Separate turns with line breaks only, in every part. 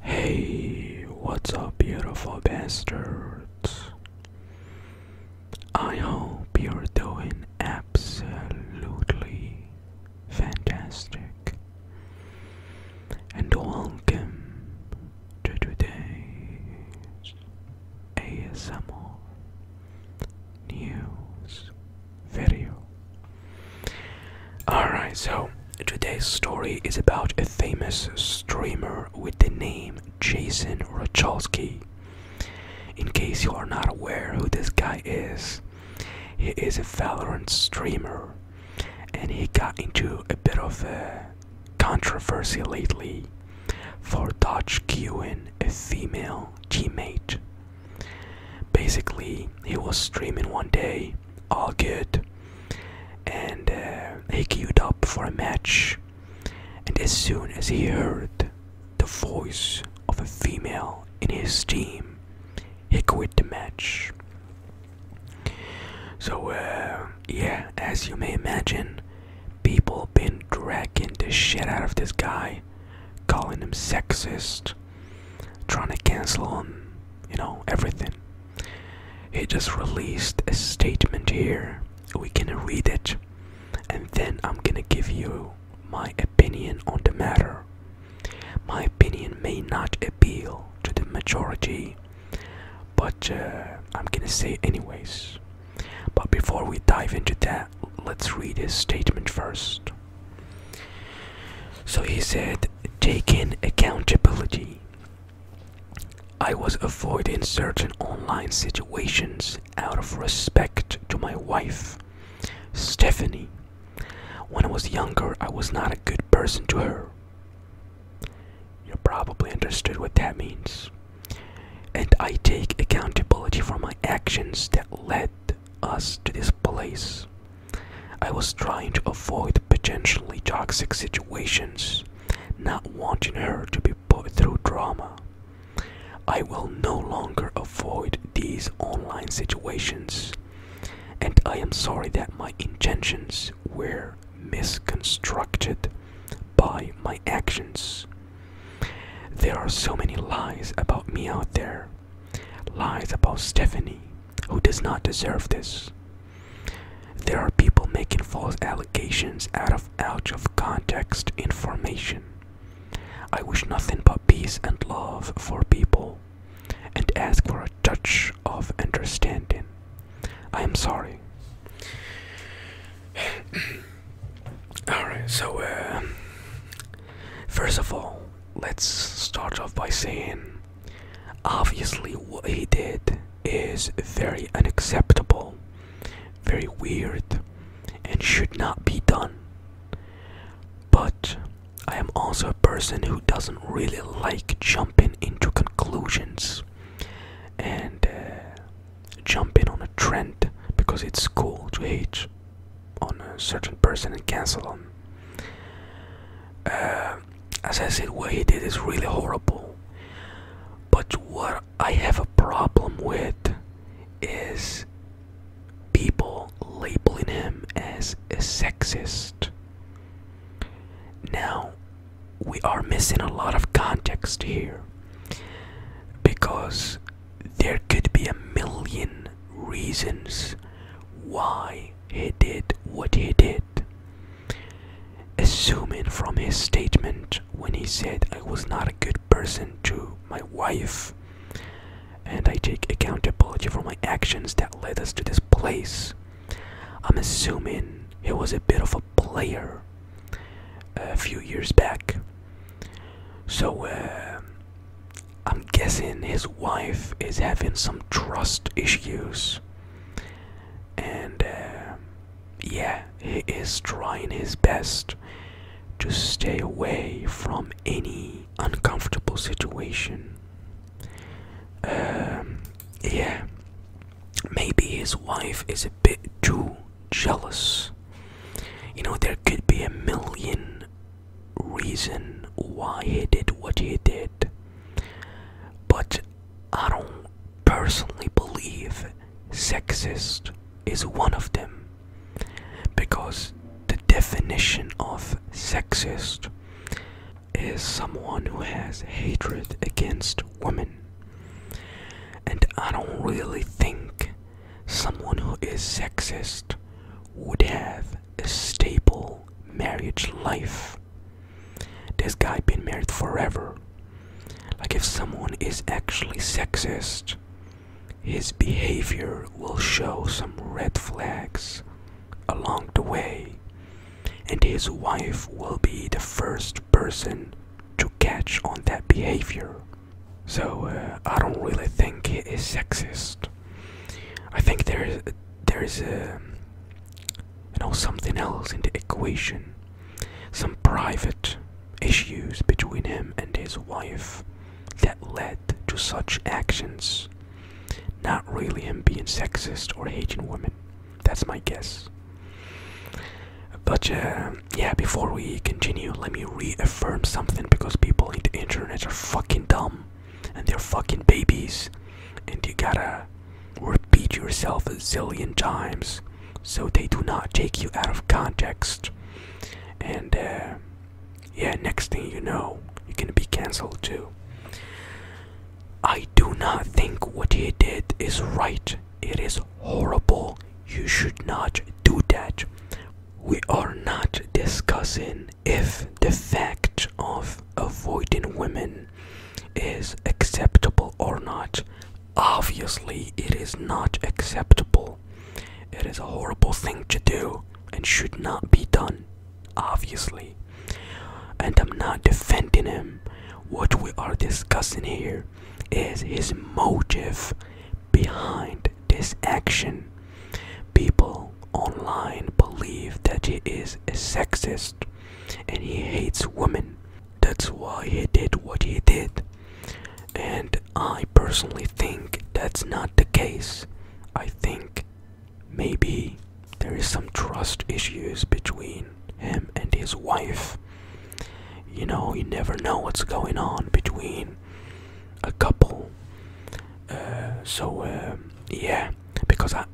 Hey, what's up, beautiful bastards? I hope you're doing absolutely fantastic. And welcome to today's ASMR news video. Alright, so today's story is about a famous streamer with the name Jason Rachalski. In case you are not aware who this guy is, he is a Valorant streamer and he got into a bit of a controversy lately for dodge in a female teammate. Basically, he was streaming one day all good. And uh, he queued up for a match. And as soon as he heard the voice of a female in his team, he quit the match. So, uh, yeah, as you may imagine, people been dragging the shit out of this guy, calling him sexist, trying to cancel him, you know, everything. He just released a statement here. We are gonna read it, and then I'm gonna give you my opinion on the matter. My opinion may not appeal to the majority, but uh, I'm gonna say anyways. But before we dive into that, let's read his statement first. So he said, taking accountability I was avoiding certain online situations out of respect to my wife, Stephanie. When I was younger, I was not a good person to her. You probably understood what that means. And I take accountability for my actions that led us to this place. I was trying to avoid potentially toxic situations, not wanting her to be put through drama. I will no longer avoid these online situations, and I am sorry that my intentions were misconstrued by my actions. There are so many lies about me out there. Lies about Stephanie, who does not deserve this. There are people making false allegations out of out of context information. I wish nothing but peace and love for people and ask for a touch of understanding. I am sorry. Alright, so uh, first of all, let's start off by saying Obviously, what he did is very unacceptable, very weird, and should not be done. But I am also a person who doesn't really like jumping into conclusions and uh, jumping on a trend because it's cool to hate on a certain person and cancel them as I said, what he did is really horrible. But what I have a problem with is people labeling him as a sexist. Now, we are missing a lot of context here because there could be a million reasons why he did what he did. Assuming from his statement when he said I was not a good person to my wife, and I take accountability for my actions that led us to this place, I'm assuming he was a bit of a player a few years back. So, uh, I'm guessing his wife is having some trust issues and uh, yeah, he is trying his best to stay away from any uncomfortable situation. Um, yeah, maybe his wife is a bit too jealous. You know, there could be a million reason why he did what he did, but I don't personally believe sexist is one of them because the definition of sexist is someone who has hatred against women. And I don't really think someone who is sexist would have a stable marriage life. This guy been married forever. Like if someone is actually sexist, his behavior will show some red flags along the way, and his wife will be the first person to catch on that behavior. So uh, I don't really think he is sexist. I think there is there is a you know, something else in the equation. Some private issues between him and his wife that led to such actions. Not really him being sexist or hating women. That's my guess. But uh, yeah, before we continue, let me reaffirm something because people in the internet are fucking dumb and they're fucking babies and you gotta Repeat yourself a zillion times so they do not take you out of context. And uh, yeah, next thing you know, you're gonna be cancelled too. I do not think what he did is right. It is horrible. You should not do that. We are not discussing if the fact of avoiding women is acceptable or not. Obviously, it is not acceptable. It is a horrible thing to do and should not be done, obviously. And I'm not defending him. What we are discussing here is his motive behind this action. People online believe that he is a sexist and he hates women. That's why he did what he did. And I personally think that's not the case. I think maybe there is some trust issues between him and his wife. You know, you never know what's going on between a couple. Uh, so, uh, yeah, because I,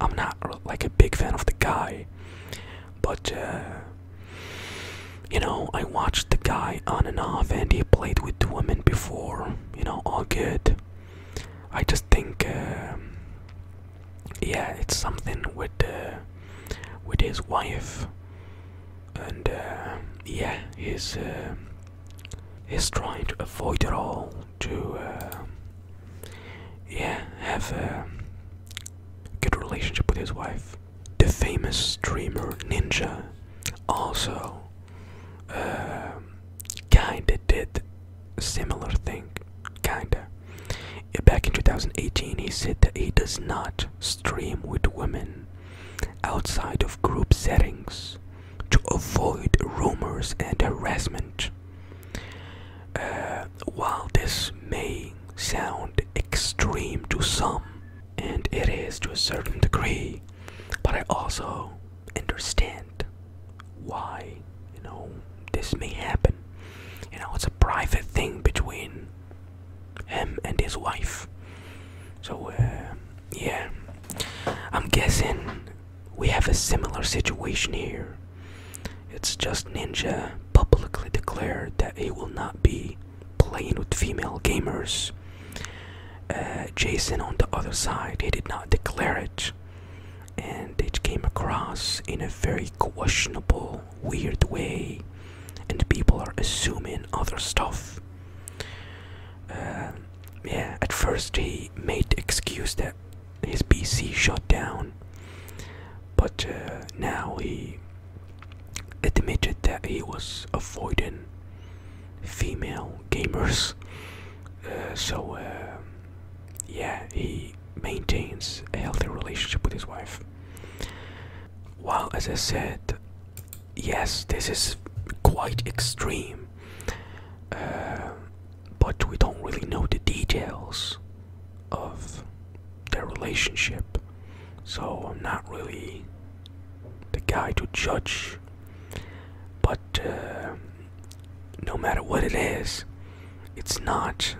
I'm not like a big fan of the guy, but uh, you know, I watched the guy on and off, and he played with women before. You know, all good. I just think, uh, yeah, it's something with uh, with his wife, and yeah, he's he's trying to avoid it all to uh, yeah have a good relationship with his wife. The famous streamer Ninja, also uh, kinda did a similar thing, kinda. Back in 2018, he said that he does not stream with women outside of group settings to avoid rumors and harassment. Uh, while this may sound extreme to some, and it is to a certain degree, but I also understand why you know this may happen. You know, it's a private thing between him and his wife. So, uh, yeah, I'm guessing we have a similar situation here. It's just Ninja publicly declared that he will not be playing with female gamers. Uh, Jason, on the other side, he did not declare it, and it came across in a very questionable, weird way, and people are assuming other stuff. Uh, yeah, at first he made the excuse that his PC shut down, but uh, now he admitted that he was avoiding female gamers. Uh, so, uh, yeah, he maintains a healthy relationship with his wife. While, as I said, yes, this is quite extreme but we don't really know the details of their relationship. So I'm not really the guy to judge. But uh, no matter what it is, it's not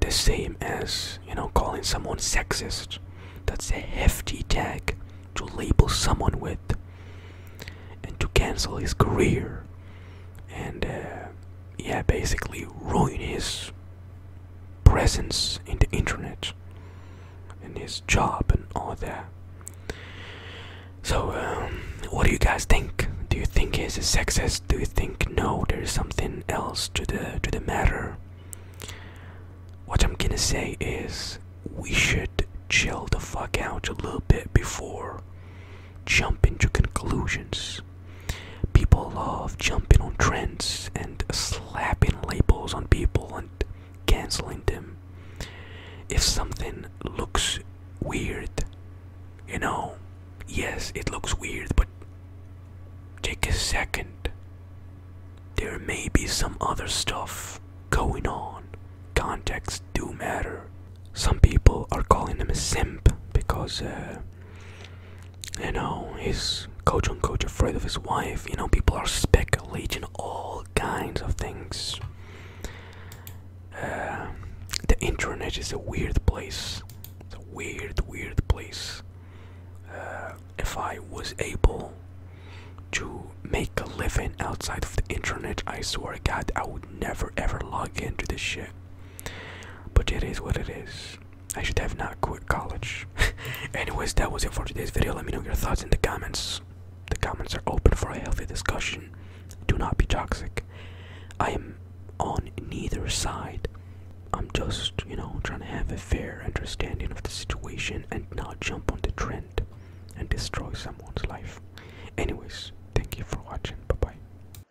the same as, you know, calling someone sexist. That's a hefty tag to label someone with and to cancel his career. And uh, yeah, basically ruin his presence in the internet and his job and all that. So, um, what do you guys think? Do you think he's a sexist? Do you think no? There's something else to the to the matter. What I'm gonna say is we should chill the fuck out a little bit before jumping to conclusions. People love jumping on trends and slapping labels on people and canceling them. If something looks weird, you know, yes, it looks weird, but take a second. There may be some other stuff going on. Context do matter. Some people are calling him a simp because uh, you know, he's coach on coach afraid of his wife. You know, people are speculating all kinds of things. Uh, the internet is a weird place. It's a weird, weird place. Uh, if I was able to make a living outside of the internet, I swear God, I would never ever log into this shit. But it is what it is. I should have not quit college. Anyways, that was it for today's video. Let me know your thoughts in the comments. The comments are open for a healthy discussion. Do not be toxic. I am on neither side. I'm just, you know, trying to have a fair understanding of the situation and not jump on the trend and destroy someone's life. Anyways, thank you for watching. Bye bye.